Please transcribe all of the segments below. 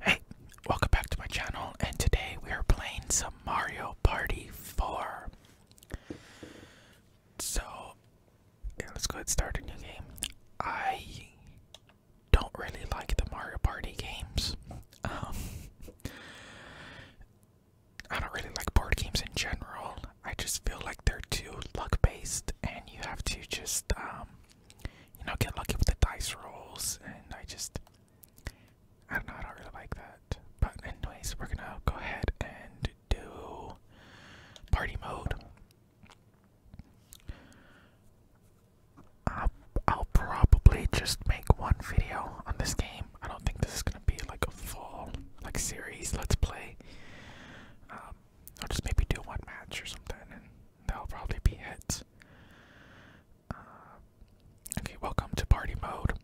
Hey, welcome back to my channel, and today we are playing some Mario Party 4. So, yeah, let's go ahead and start a new game. I don't really like the Mario Party games. Um, I don't really like board games in general. I just feel like they're too luck based, and you have to just um, you know, get lucky with the dice rolls, and I just, I don't know, I don't really like that. But anyways, we're gonna go ahead and do party mode. I'll, probably just make one video on this game. I don't think this is gonna be like a full like series. Let's play. Um, I'll just maybe do one match or something, that'll probably be it. Uh, okay, welcome to party mode.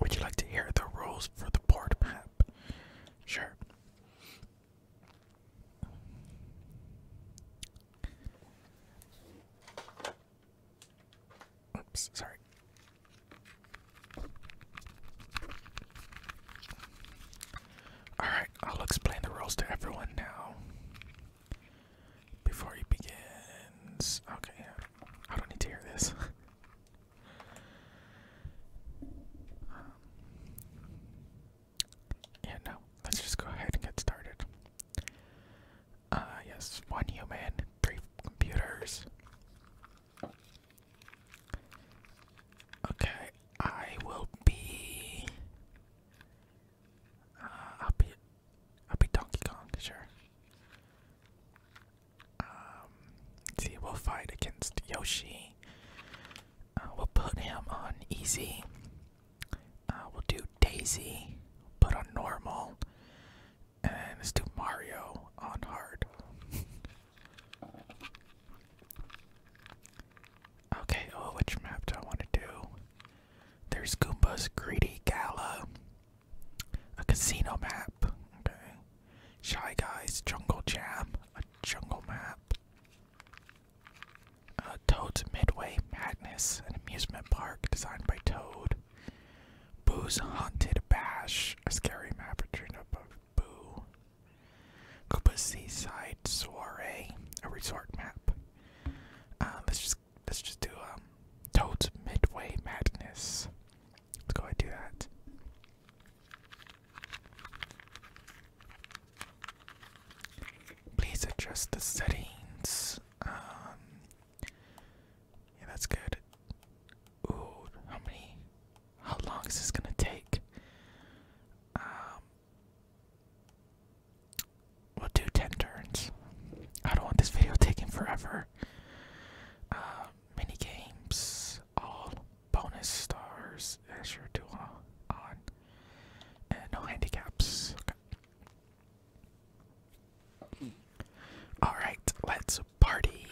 Would you like to hear the rules for the board map? Sure. Oops, sorry. Alright, I'll explain the rules to everyone now. Before he begins. Okay, I don't need to hear this. Um, yeah, no. Let's just go ahead and get started. Uh, yes, one human, three computers. Okay, I will be uh, I'll be, I'll be Donkey Kong, sure. Um, see, we'll fight against Yoshi. Uh, we'll put him on easy. Uh, we'll do Daisy, put on normal, and let's do Mario on hard. okay, oh, which map do I want to do? There's Goomba's Greedy Gala. A casino map. Okay. Shy Guys Jungle Jam. A jungle map. Uh, Toad's Midway Madness. An amusement park designed by Toad. Boo's Haunted Bash. A scary map retrieved Boo. Koopa's Seaside Soiree. A resort map. Um, let's just let's just do um, Toad's Midway Madness. Let's go and do that. Please adjust the settings. Um, yeah, that's good. Ooh, how many? How long is this gonna take? We'll do 10 turns. I don't want this video taking forever. Uh, mini games, all bonus stars, extra dual on, and no handicaps. Alright, let's party.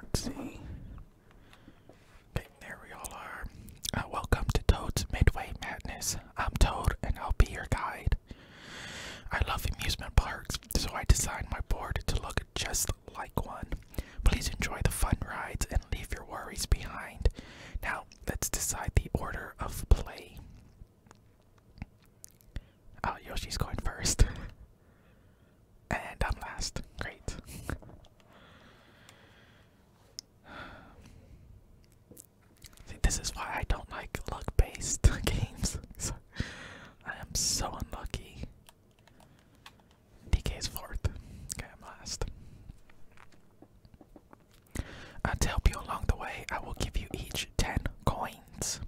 Let's see. Okay, there we all are. Uh, welcome to Toad's Midway Madness. I'm Toad, and I'll be your guide. I love amusement parks, so I designed my board to look just like one. Please enjoy the fun rides and leave your worries behind. Now, let's decide the order of play. Oh, Yoshi's going first. and I'm last. Great. this is why I don't like luck based games. I am so unlucky. DK's fourth. Okay, I'm last. to help you along the way, I will give you each 10 coins.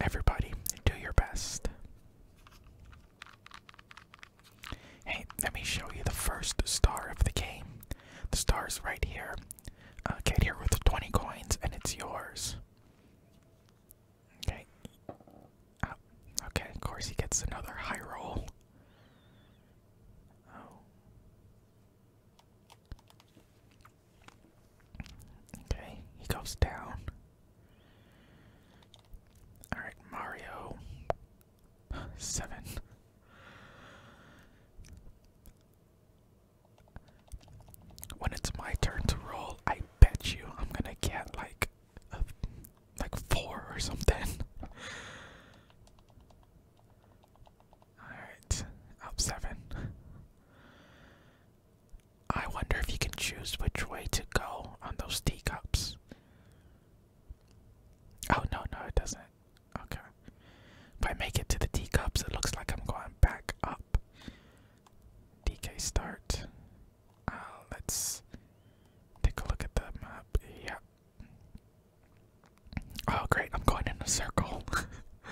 Everybody, do your best. Hey, let me show you the first star of the game. The star's right here. Uh, get here with 20 coins, and it's yours. Okay. Ah, okay, of course he gets another high roll. Oh. Okay, he goes down. Alright, Mario Seven. When it's my turn to roll, I bet you I'm gonna get like like four or something. Alright, up seven. I wonder if you can choose which way to go on those teacups. Oh no, no, it doesn't. Okay. If I make it to the teacups, it looks like I'm going back up. DK start. Uh, let's take a look at the map. Yeah. Oh, great. I'm going in a circle.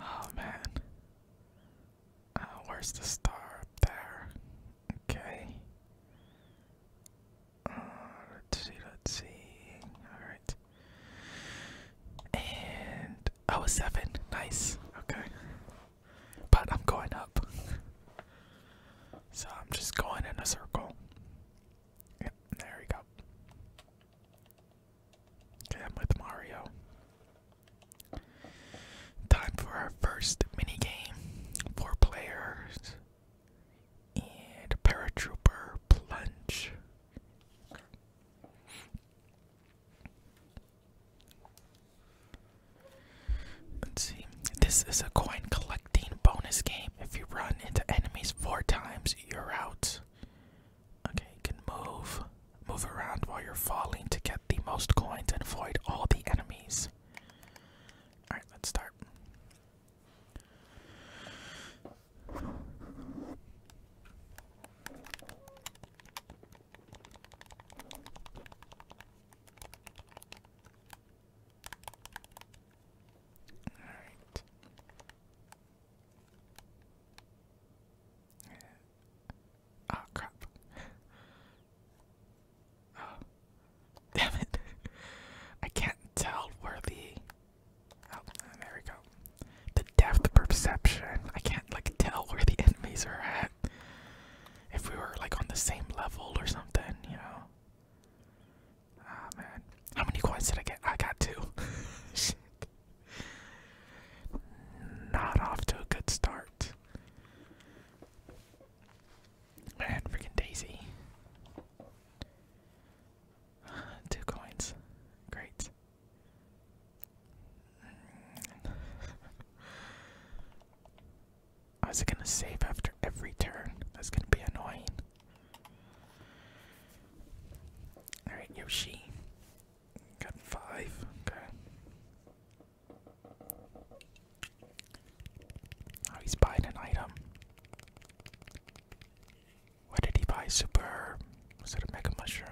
oh, man. Uh, where's the star up there? Okay. Uh, let's see, let's see. Alright. And oh, a seven. Nice. Okay. But I'm going up. so I'm just going in a circle. Yep, there we go. Okay, I'm with Mario. Time for our first mini game. Four players and Paratrooper Plunge. Let's see. This is a coin collecting bonus game. If you run into enemies four times, you're out. Okay, you can move, move around while you're falling to get the most coins and avoid all the enemies. All right, let's start right. Yeah. Uh, oh crap. oh. Damn it. I can't tell where the Oh, there we go. The depth perception. I can't like tell where the enemies are at. If we were like on the same level or something, you know. Ah, man. How many coins did I get? I got two. Shit. Not off to a good start. Man, freaking Daisy. Two coins. Great. Mm. I was gonna save after every turn. That's gonna be annoying. Alright, Yoshi. Got five. Okay. Oh, he's buying an item. What did he buy? Super instead of it a mega mushroom?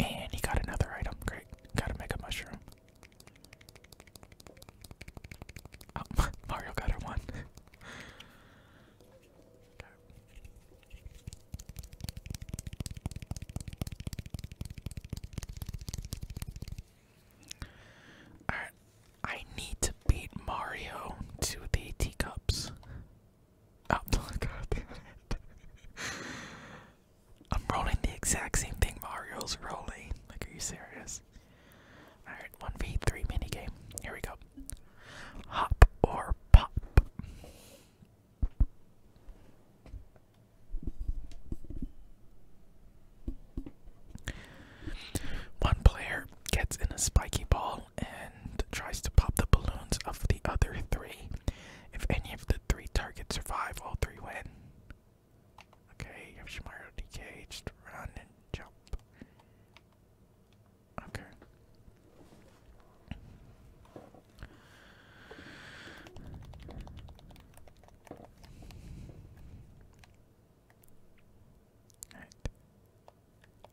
And he got another item. Great. Got a mega mushroom. Oh, Mario got her one. I need to beat Mario to the teacups. Oh, god I'm rolling the exact same thing Mario's rolling. Like, are you serious? Alright, 1v3 minigame. Here we go. Hop or pop. One player gets in a spiky ball and tries to pop the balloons of the other three. If any of the three targets survive, all three win. Okay, Yoshimaru DK, just run and jump. Okay.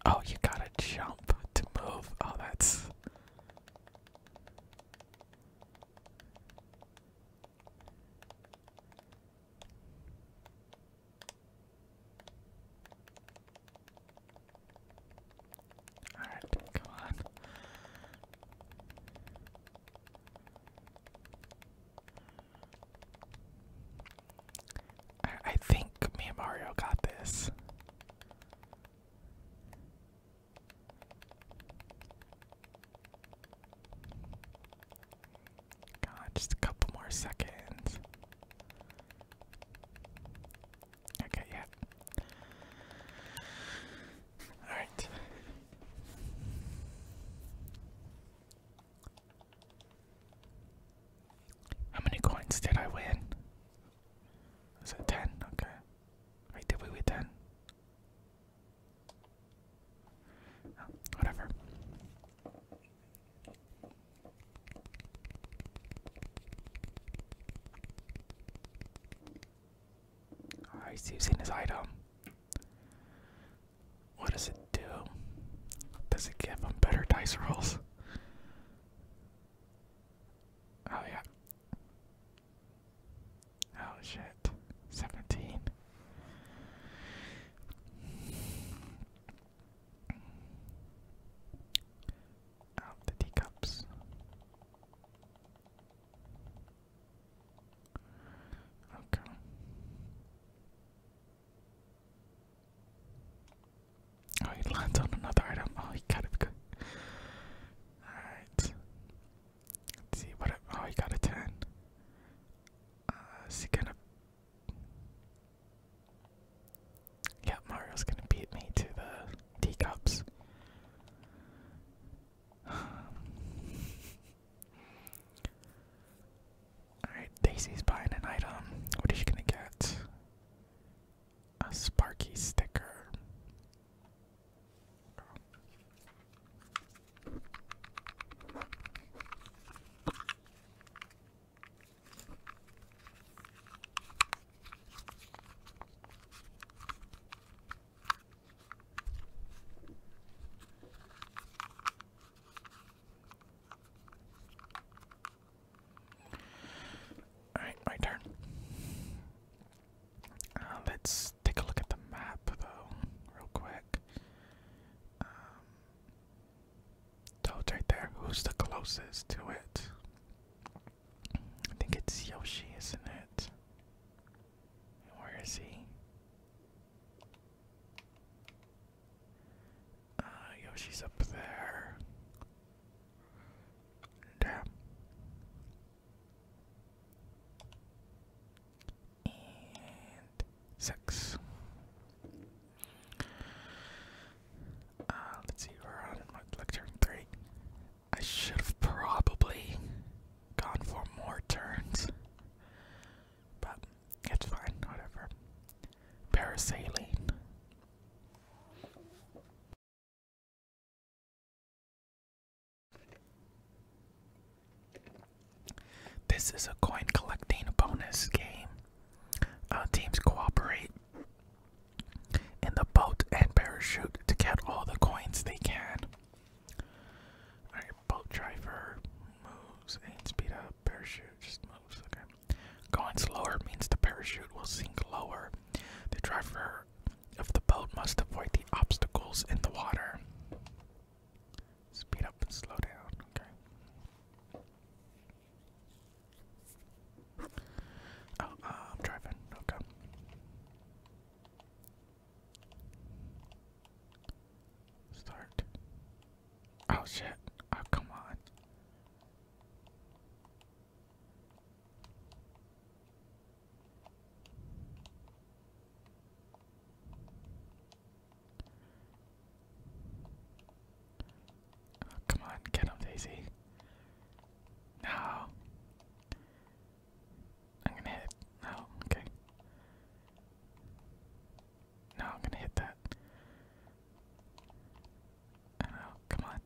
Oh, you gotta jump to move. Oh, that's. Alright, come on. I, think me and Mario got this. God, just a couple more seconds. Okay, yeah. Alright. How many coins did I win? Was it 10? Okay. Wait, did we win 10? whatever. Alright, seen this item. What does it do? Does it give him better dice rolls? Oh yeah. Oh shit. 17. Out the teacups. Okay. Oh, he lands on another item. Oh, he got it. Alright. Let's see what. oh, he got a 10. Uh, is he gonna. Yeah, Mario's gonna beat me to the teacups. Alright, Daisy's buying an item. What is she gonna get? A Sparky sticker. Alright, my turn. Uh, let's take a look at the map, though, real quick. Um, right there. Who's the closest to it? I think it's Yoshi, isn't it? Where is he? Uh, Yoshi's up there. Damn. And six. Uh, let's see, we're on lecture three. I should have probably gone for more turns. But it's fine, whatever. Parasailing. This is a coin collecting bonus game. Uh, teams cooperate in the boat and parachute to get all the coins they can boat driver moves, and speed up, parachute just moves, okay. Going slower means the parachute will sink lower. The driver of the boat must avoid the obstacles in the water. Speed up and slow down, okay. Oh, uh, I'm driving. Okay. Start. Oh shit. Oh, come on. Oh, come on, get him, Daisy. No. I'm gonna hit. Oh, okay. No, I'm gonna hit that. Oh, come on.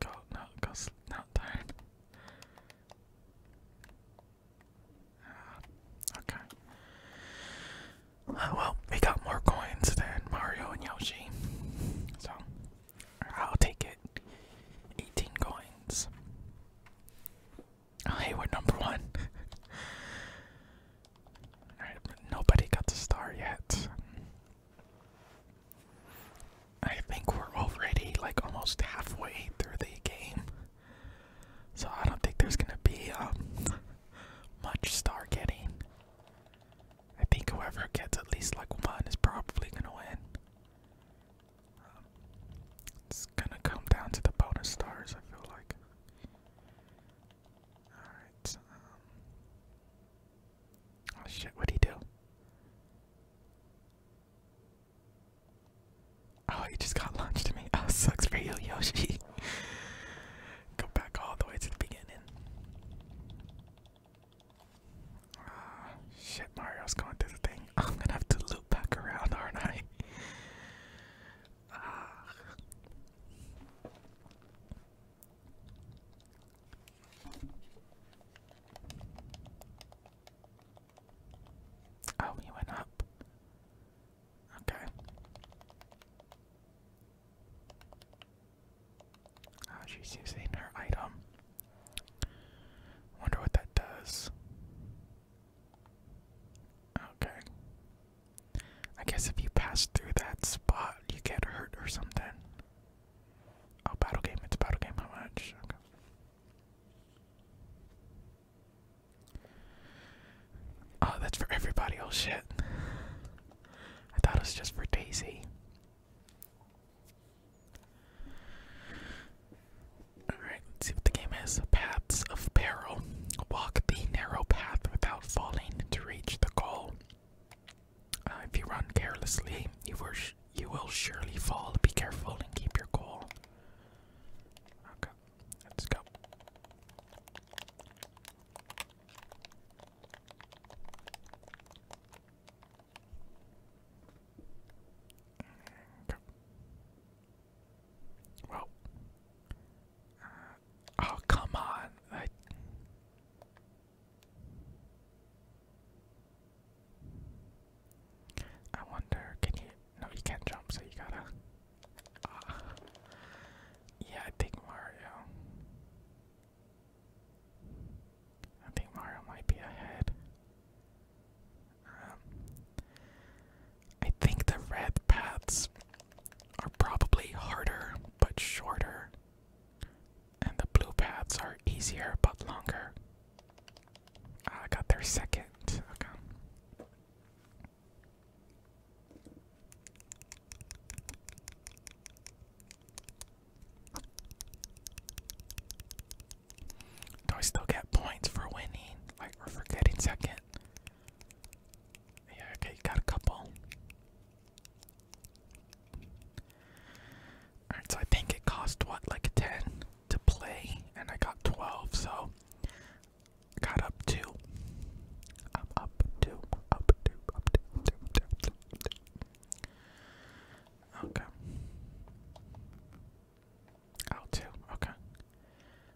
Go, no, go, not darn. Ah, okay. Uh, well, we got more coins than Mario and Yoshi. So, I'll take it. 18 coins. Oh, hey, we're number one. nobody got the star yet. I think we're already like almost halfway through the game. So I don't think there's gonna be um much star getting. I think whoever gets at least like one is probably gonna win. it's gonna come down to the bonus stars, I feel like. Alright, um, Oh shit, what'd he do? Oh, he just got launched to me. Oh, sucks for you, Yoshi. Go back all the way to the beginning. Ah, shit, Mario's going through the thing. I'm gonna have to loop back around, aren't I? Ah. Oh, he went up. Okay. Oh, she's using her item. Wonder what that does. Okay. I guess if you pass through that spot, you get hurt or something. Oh, battle game. It's battle game. How much? Oh, that's for everybody. Oh shit. I thought it was just for Daisy. Alright, let's see what the game is. Paths of Peril. Walk the narrow path without falling to reach the goal. Uh, if you run carelessly, you will surely fall. Be careful and keep your goal. Okay, let's go. Uh, oh, come on. I wonder, can you? No, you can't jump, so you gotta yeah, I think Mario. I think Mario might be ahead. Um, I think the red paths are probably harder but shorter, and the blue paths are easier but longer. Ah, I got there second. Okay. Do I still get points for winning? Like, or for getting second? Yeah, okay, you got a couple. Alright, so I think it cost what, like a 10 to play, and I got 12, so got up to. up to, up to, up to, up Okay. Out two, okay.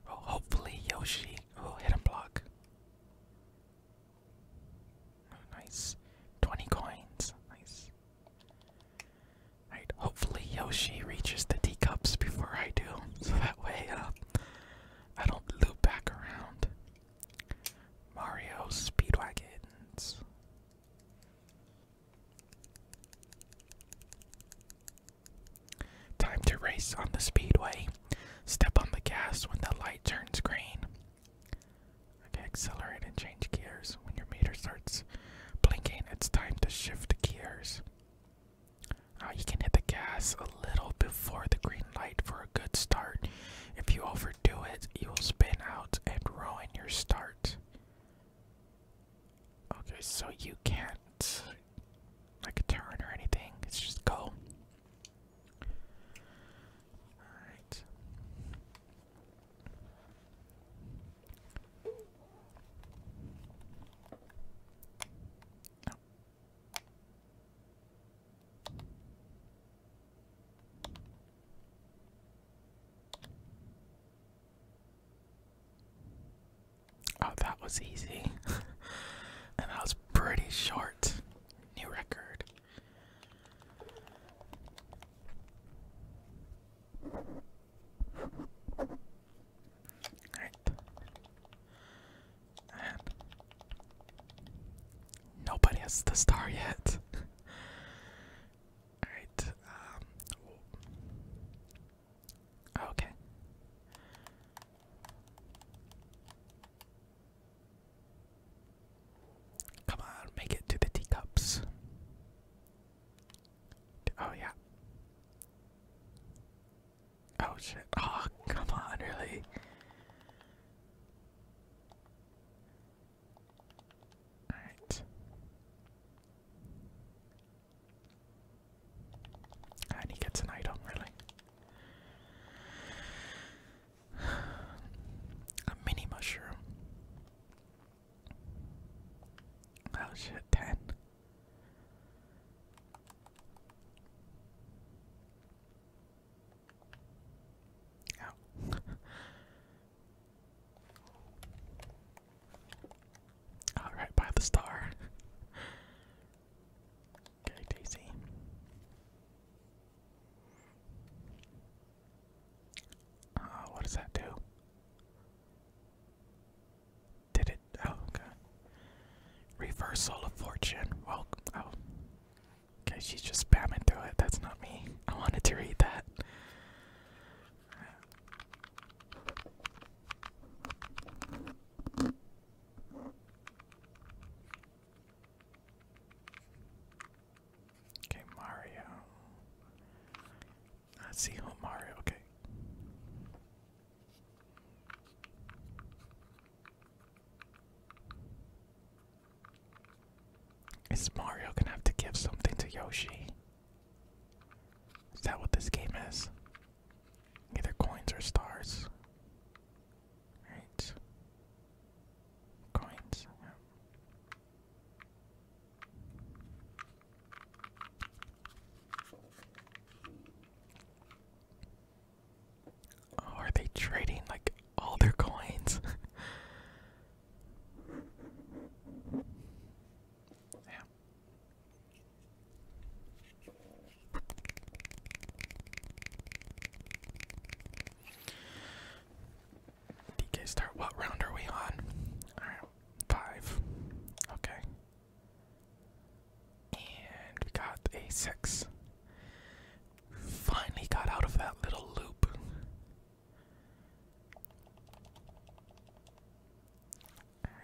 Well, hopefully Yoshi will hit a block. nice. 20 coins. Nice. Alright, hopefully Yoshi reaches the teacups before I do, so that way uh, I don't loop back around. Mario Speedwagons. Time to race on the speedway. Step on the gas when the light turns green. accelerate and change gears. When your meter starts blinking, it's time to shift gears. Uh, you can hit the gas a little before the green light for a good start. If you overdo it, you will spin out and ruin your start. Okay, so you can't like turn or anything. It's just go. Alright. Oh, that was easy. and that was pretty short. New record. Alright nobody has the star yet. Alright, um, Okay. Come on, make it to the teacups. Oh, yeah. Oh shit. Oh, come on, really? Alright. And he gets an item, really. A mini mushroom. Oh shit, 10. Alright, by the star. okay, Daisy. Uh, what does that do? Did it? Oh, okay. Reversal of fortune. oh, Okay, she's just spamming through it. That's not me. I wanted to read that. Okay, Mario. Let's see who Mario. Okay. Is Mario gonna have to give something to Yoshi? Is that what this game is? Either coins or stars. Right. Coins. Oh, are they trading like all their coins? yeah. DK start what round are we on? Alright, five. Okay. And we got a six. Finally got out of that little loop.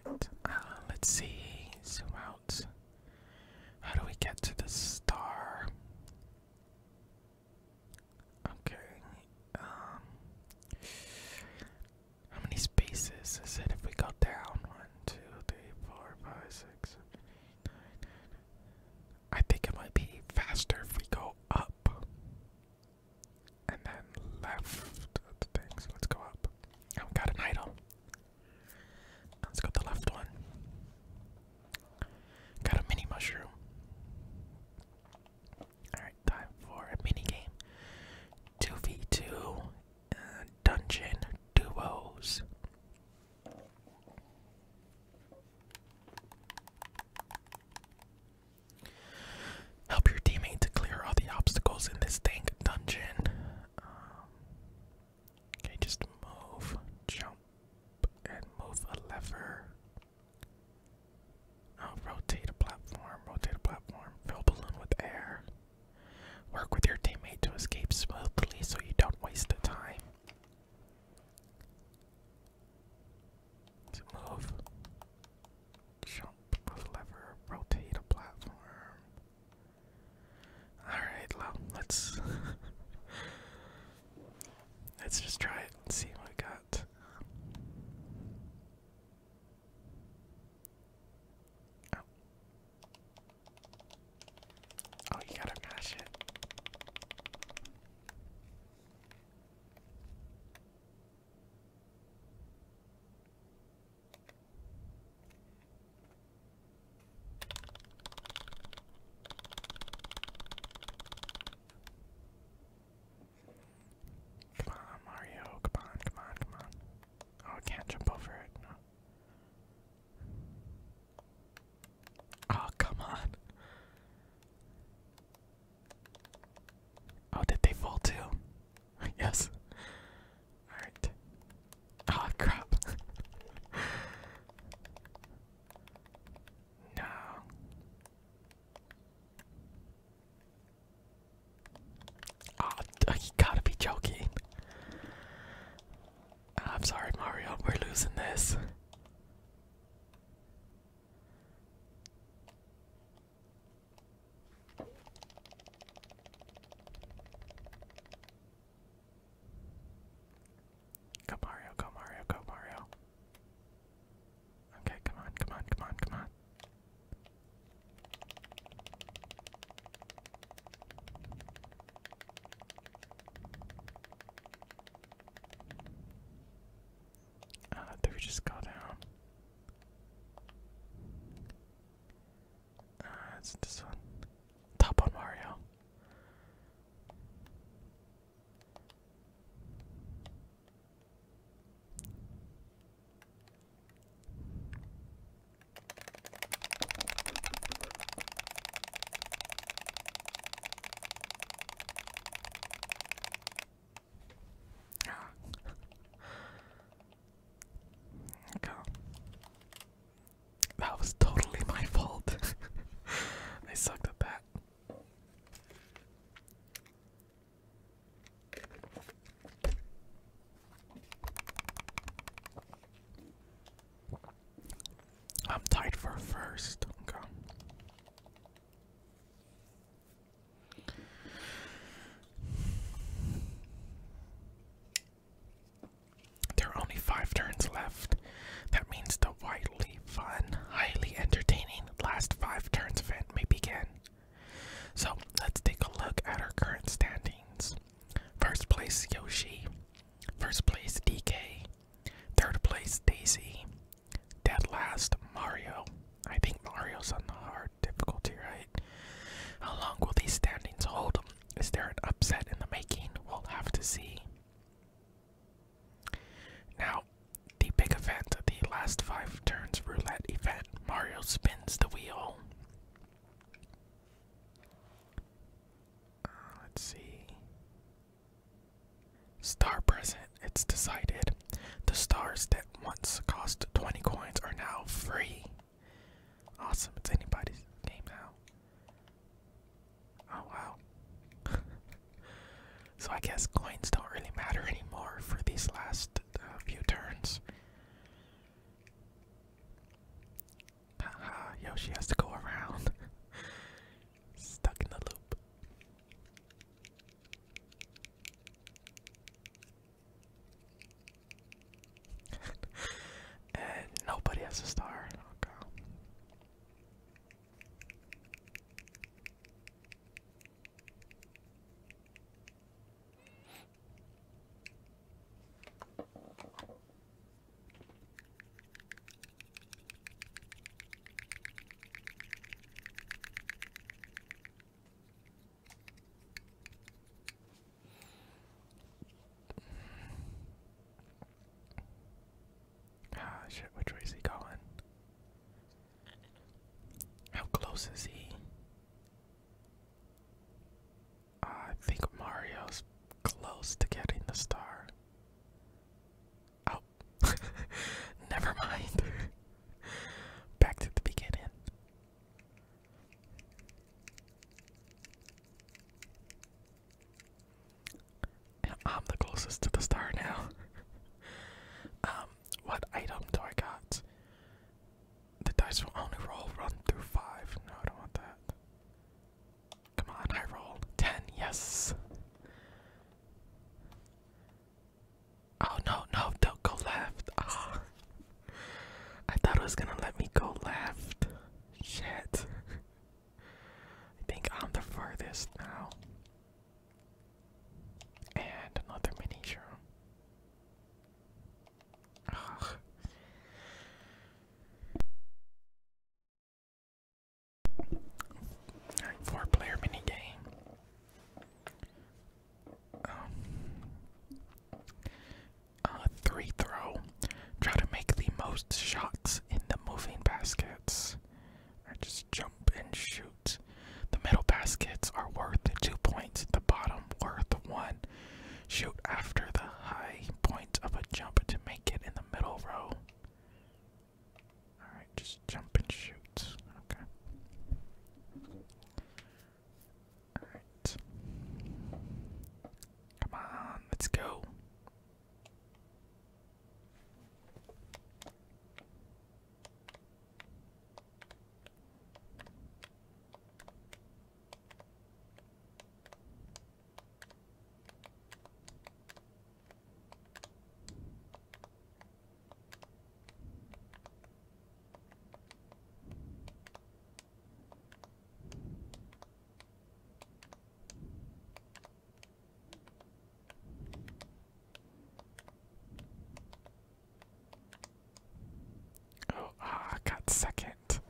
Alright, uh, let's see. Zoom out. How do we get to the star? Okay. Um, how many spaces is it if we go down? One, two, three, I think it might be faster if we go up and then left the things. So let's go up. I've oh, got an idol. Let's go the left one. Got a mini mushroom. Alright, time for a mini game. 2v2 uh, dungeon duos. Help your teammate to clear all the obstacles in this dank dungeon. Um, okay, just move, jump, and move a lever. Oh, rotate a platform, rotate a platform, fill balloon with air. Work with your teammate to escape smoothly so you don't waste the time. move, jump with lever, rotate a platform. Alright, let's let's just try it and see what we got. Oh. Oh, you gotta mash it. Come on, Mario, come on, come on, come on. Oh, I can't jump over it, Oh, come on. Oh, did they fall too? yes. Alright. Oh, crap. no. Oh, ah, you gotta be joking. I'm sorry, Mario, we're losing this. Go Mario, go Mario, go Mario. Okay, come on, come on, come on, come on. Ah, uh, just go down. Ah, it's this one. Top on Mario. Go. That was totally my fault. I sucked at that. I'm tied for first. There are only five turns left. That means the wildly fun, highly entertaining last five turns event may begin. So let's take a look at our current standings. First place Yoshi. First place DK. Third place Daisy. Dead last Mario. I think Mario's on the hard difficulty, right? How long will these standings hold? Is there an upset in the making? We'll have to see. Now, the big event, the last five turns roulette event, Mario spins the wheel. Uh, let's see. Star present. It's decided. The stars that once cost 20 coins are now free. Awesome. It's anybody's game now. Oh wow. so I guess coins don't really matter anymore for these last uh, few turns. Haha, Yoshi has to go around. Stuck in the loop. and nobody has a star. Oh, Ah, shit, which way is he going? How close is he? I think Mario's close to getting the star. Oh, never mind. Back to the beginning. I'm the closest to the star now. um, what item do I got? The dice will only roll run through five. No, I don't want that. Come on, I rolled. 10, yes. Oh no, no, don't go left. Ah. I thought it was gonna let me go left. Shit. I think I'm the farthest now. And another miniature. Ugh four player minigame. Um, uh, three throw. Try to make the most shots in the moving baskets. just jump and shoot. The middle baskets are worth two points, the bottom worth one. Shoot after the high point of a jump to make it in the middle row. Alright, just jump and shoot. Okay. Alright. Come on, let's go. Oh, ah, I got second that.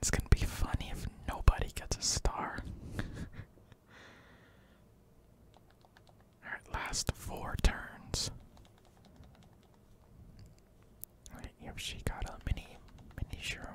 it's gonna be funny if nobody gets a star. Alright, last four turns. Alright, here she got a mini mini shroom.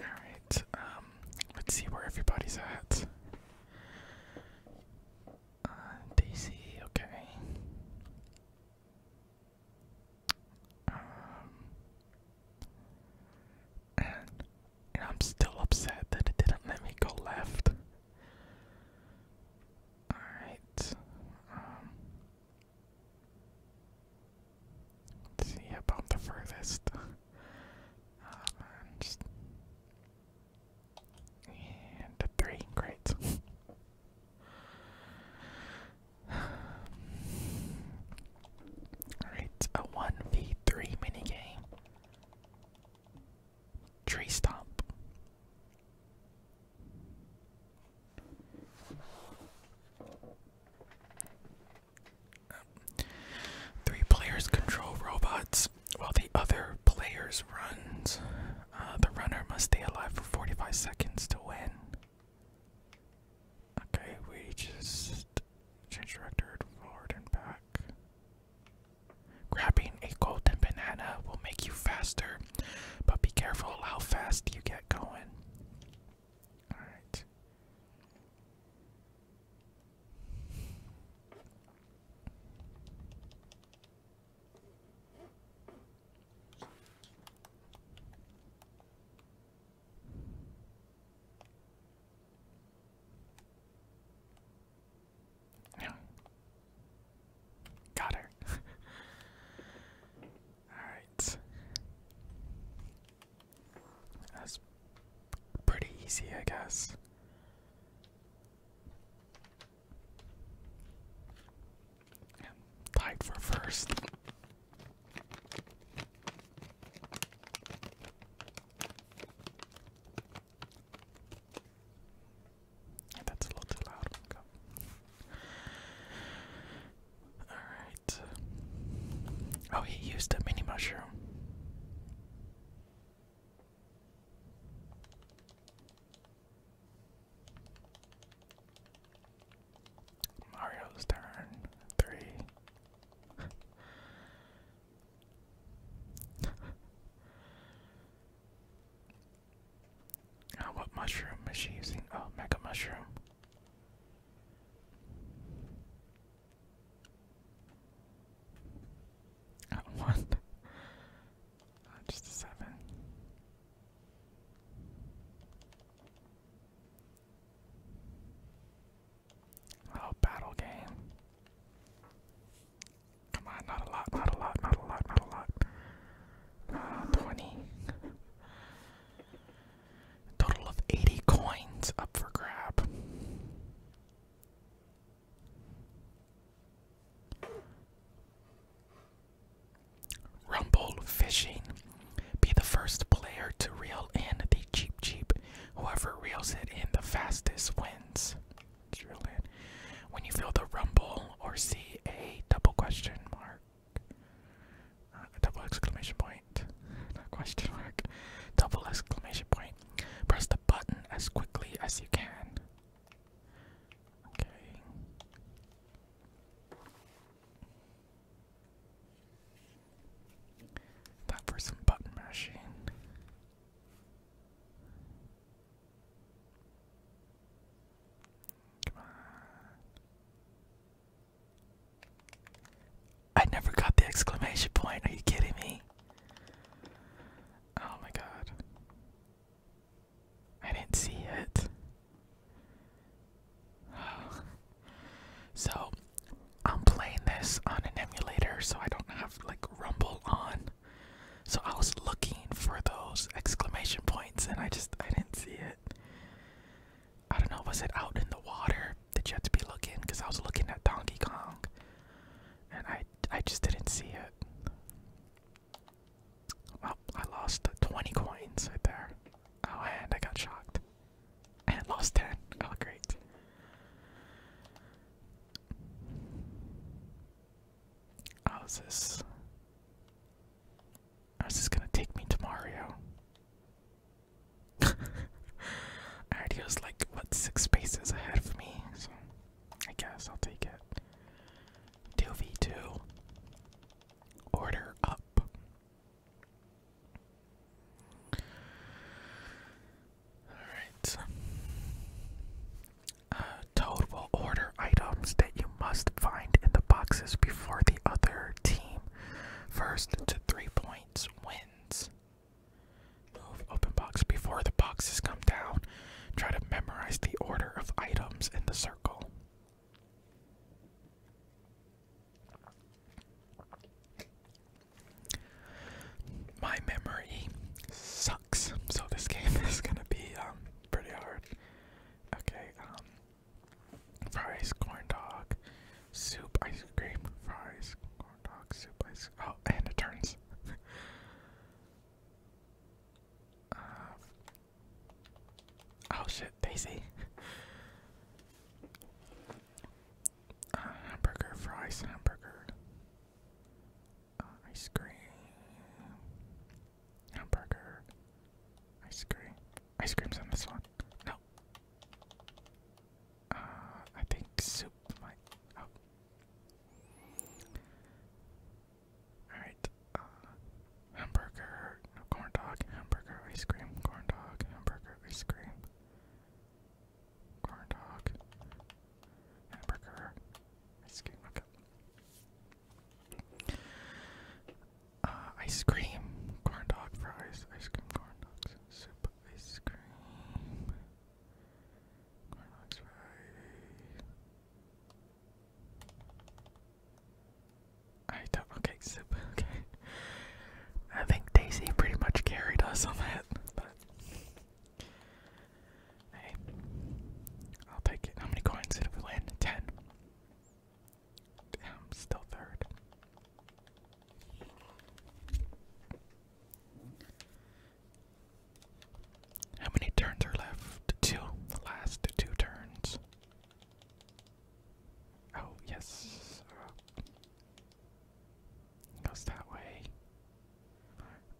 Alright, um, let's see where everybody's at. Uh, Daisy, okay. Um, and, and I'm still upset that it didn't let me go left. Alright. Um, see about the furthest. Uh, and three, great. Alright, a 1v3 minigame. Tree stomp. Three players control robots while the other players runs. Uh, the runner must stay alive for 45 seconds to win. Okay, we just change the forward and back. Grabbing a golden banana will make you faster, but be careful how fast you get going. Alright. Yeah. Got her. Alright. That's pretty easy, I guess. And for first. That's a little loud. Alright. Oh, he used a mini mushroom. Mario's turn. Three. Uh, what mushroom is she using? Oh, mega mushroom. what? Uh, uh, just a seven. Oh, battle game. Come on, not a lot, not a lot, not a lot, not a lot. Uh, 20. Total of 80 coins up for grab. Rumble Fishing. Be the first player to reel in the Cheap Cheap. Whoever reels it in the fastest wins. When you feel the rumble or see a double question mark, uh, a double exclamation point, not question mark, double exclamation point, press the button as quickly as you can. Okay. Time for some button mashing. I never got the exclamation point. Are you kidding me? Oh my god. I didn't see it. So, I'm playing this on an emulator, so I don't have like Rumble on. So I was looking for those exclamation points and I just I didn't see it. I don't know, was it out in the water Did you have to be looking? Because I was looking at Donkey Kong and I I just didn't see it. Well, I lost 20 coins right there. Oh, and I got shocked. And lost 10. Oh, great. How's this. Oh, this gonna take me to Mario? Alright, he was like, what, six spaces ahead of me? So, I guess I'll take it. 2v2. Order up. Alright. Toad will order items that you must find in the boxes before the other team. First to three points wins. Move open box before the boxes come down. Try to memorize the order of items in the circle. My memory sucks, so this game is gonna be um pretty hard. Okay, um, fries, corn dog, soup, ice cream, fries, corn dog, soup, ice. Oh, and it turns. uh, oh shit, Daisy. Uh, hamburger, fries, hamburger ice cream, hamburger, ice cream. Ice cream's on this one. No. Uh, I think soup might. Oh. Alright. Uh, hamburger, no, corn dog, hamburger, ice cream, corn dog, hamburger, ice cream, corn dog, hamburger, ice cream. Uh, ice cream, corn dog fries, ice cream, corn dogs, soup, ice cream, corn dogs fries. I do Okay, soup. Okay. I think Daisy pretty much carried us on that, I'll take it. How many coins did we land? Ten. I'm still third. How many turns are left? Two. last two turns. Oh, yes. Uh, goes that way.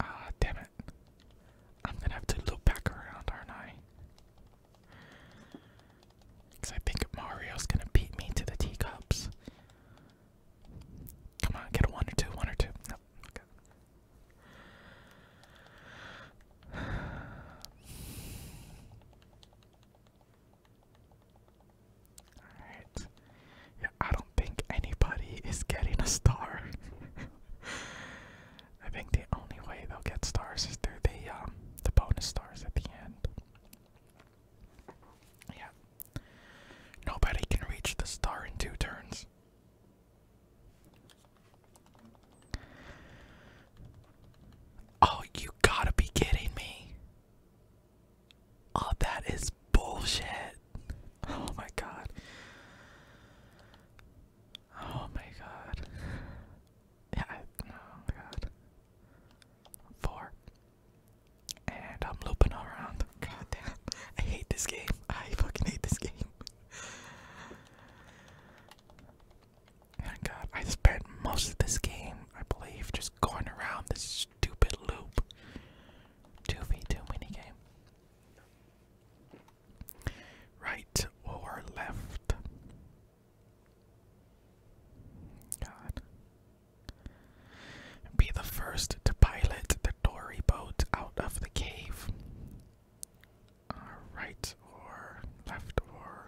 Ah, damn it. I'm gonna have to look back around, aren't I? Because I think Mario's gonna beat me to the teacups. Come on, get a one or two, one or two. Nope. Alright. Yeah, I don't think anybody is getting a star. I think the only way they'll get stars is through the um, the bonus stars at the end. Yeah. Nobody can reach the star in two turns. Oh, you gotta be kidding me. Oh, that is bullshit. Oh my god. Oh my god. Yeah, I, oh my god. Four. And I'm looping around. God damn. I hate this game. I fucking hate this game. Thank god. I spent most of this game, I believe, just going around this stupid loop. 2v2 minigame. Right or left? God. Be the first to pilot the dory boat out of the cave. Uh, right or left or.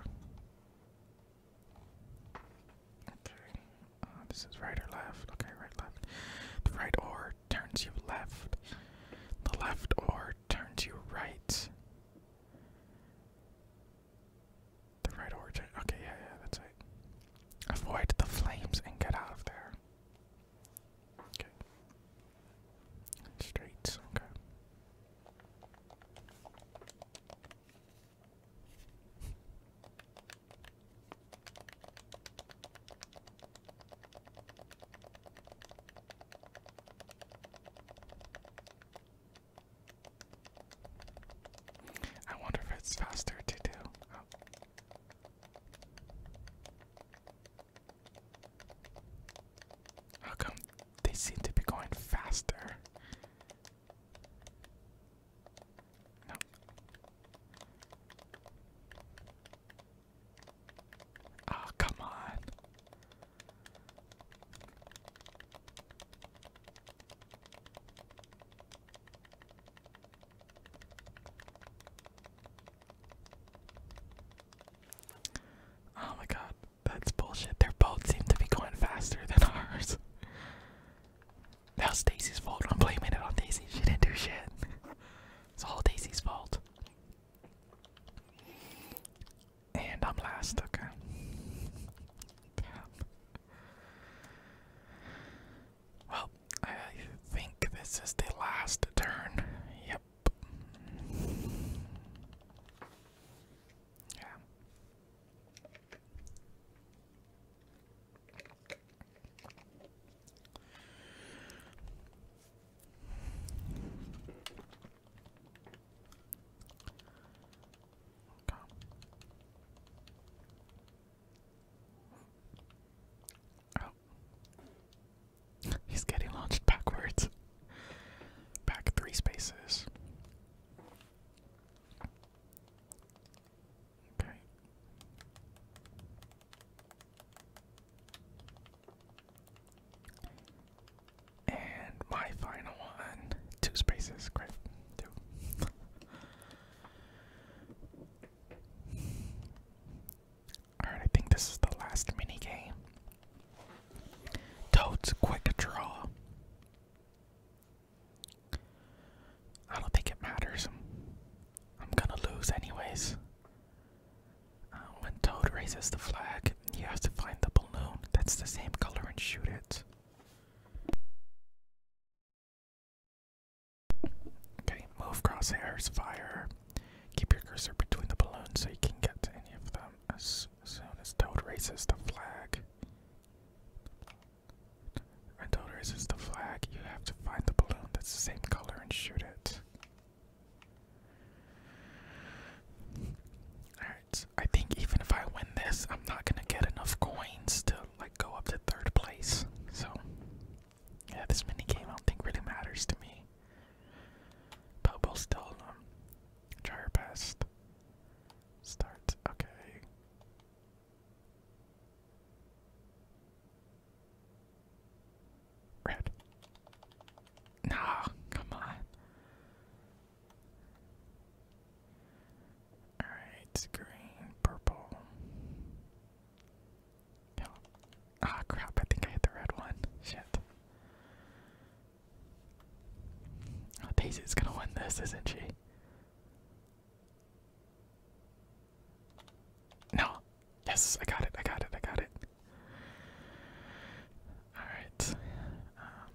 Okay. Uh, this is right or left. Okay, right, left. The right or turns you left. The left or car turn to right. The right origin. Okay, yeah, yeah, that's it. Avoid the flames and get out of there. Okay. Straight, okay. I wonder if it's faster to do. Oh. How come they seem to be going faster? No. Oh, come on. Oh my god, that's bullshit. Their boats seem to be going faster than ours. That was Daisy's fault. I'm blaming it on Daisy. She didn't do shit. It's all Daisy's fault. And I'm last, okay. well, I think this is the last turn. Yep. Yeah. He's getting launched backwards. Back three spaces. Okay. And my final one, two spaces, great, two. Alright, I think this is the last mini game. Toad's Quick Draw. I don't think it matters. I'm gonna lose, anyways. Uh, when Toad raises the flag, he has to find the balloon that's the same color and shoot it. Okay, move crosshairs, fire. Keep your cursor between the balloons so you can get to any of them as soon as Toad raises the flag. When Toad raises the flag, you have to find the balloon that's the same color and shoot it. Alright, I think even if I win this, I'm not gonna get enough coins to like go up to third place. So yeah, this mini game I don't think really matters to me. But we'll still um, try our best. Start okay. Red. Nah, come on. Alright, green, purple. Yellow. Ah, oh, crap, I think I hit the red one. Shit. Oh, Daisy's gonna win this, isn't she? No, Yes, I got it, I got it, I got it. Alright. Um,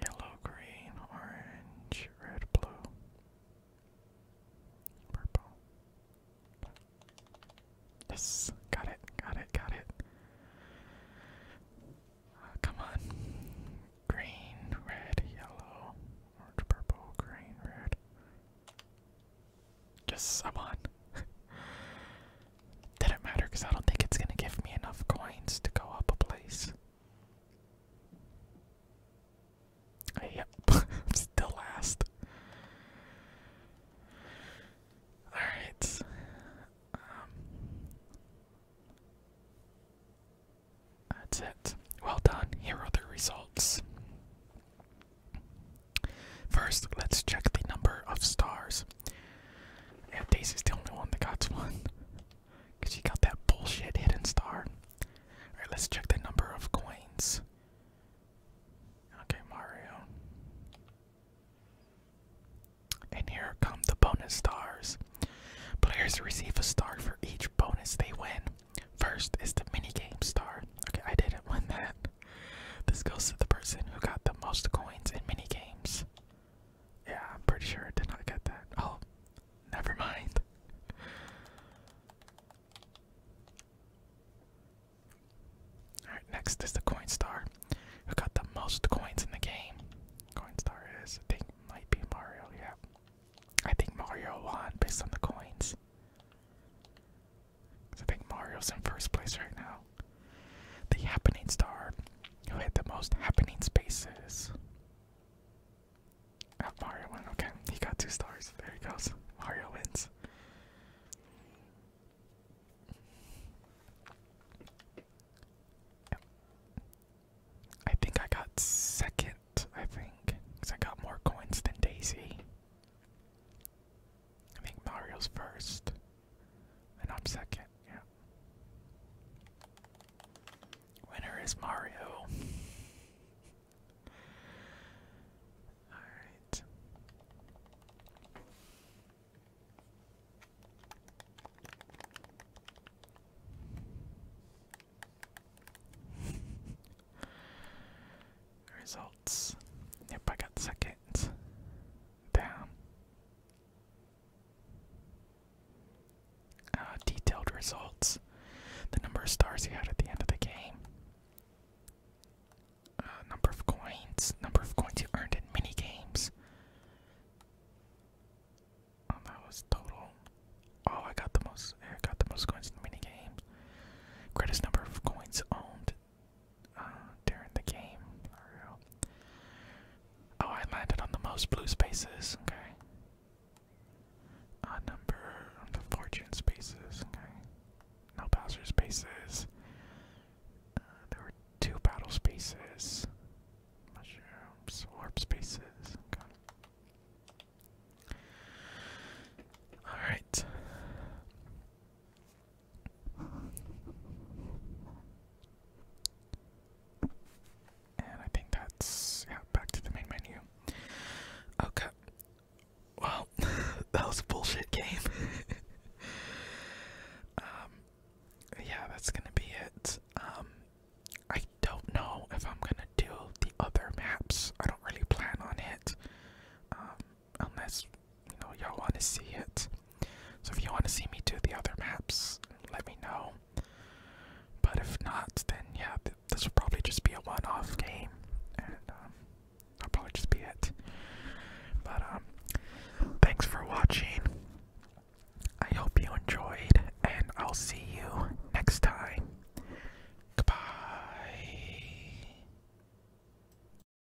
yellow, green, orange, red, blue, purple. Yes, got it, got it, got it. Uh, come on. Green, red, yellow, orange, purple, green, red. Just i on. Didn't matter because I don't think it's gonna give me enough coins to go up a place. yep, still last. Alright. Um, that's it. Well done. Here are the results. First, let's check the number of stars. Daisy's the only one that got one. Because she got that bullshit hidden star. Alright, let's check the number of coins. Okay, Mario. And here come the bonus stars. Players receive a star for each bonus they win. First is the mini game star. Okay, I didn't win that. This goes to the person who got the most coins in mini games. Yeah, I'm pretty sure I did not get that. Oh, never mind. Alright, next is the coin star. Who got the most coins in the game? Coin star is, I think, might be Mario, yeah. I think Mario won based on the coins. I think Mario's in first place right now. The happening star who had the most happening spaces. Oh, Mario won. Okay, he got two stars. There he goes. Mario wins. I think I got second, I think, because I got more coins than Daisy. I think Mario's first. And I'm second, yeah. Winner is Mario. Alright. Results. Yep, I got second down. Uh, detailed results. The number of stars you had at the end of the game. Uh, number of coins. Number of coins you earned in mini games. Oh, that was total. Oh, I got the most. I got the most coins in mini game. Greatest number of coins owned. Uh, during the game. Oh, I landed on the most blue spaces. Okay. Uh, number on the fortune spaces. Okay. No Bowser spaces. Uh, there were two battle spaces. Mushrooms, warp spaces. Okay. Alright. And I think that's yeah, back to the main menu. Okay. Well, that was a bullshit game. um yeah, that's gonna be it. Um I don't know if I'm gonna do the other maps. I don't really plan on it. Um unless you know y'all want to see it. So if you want to see me do the other maps, let me know. But if not, then yeah, this will probably just be a one-off game, and um, will probably just be it. But um, thanks for watching. I hope you enjoyed, and I'll see you next time. Goodbye.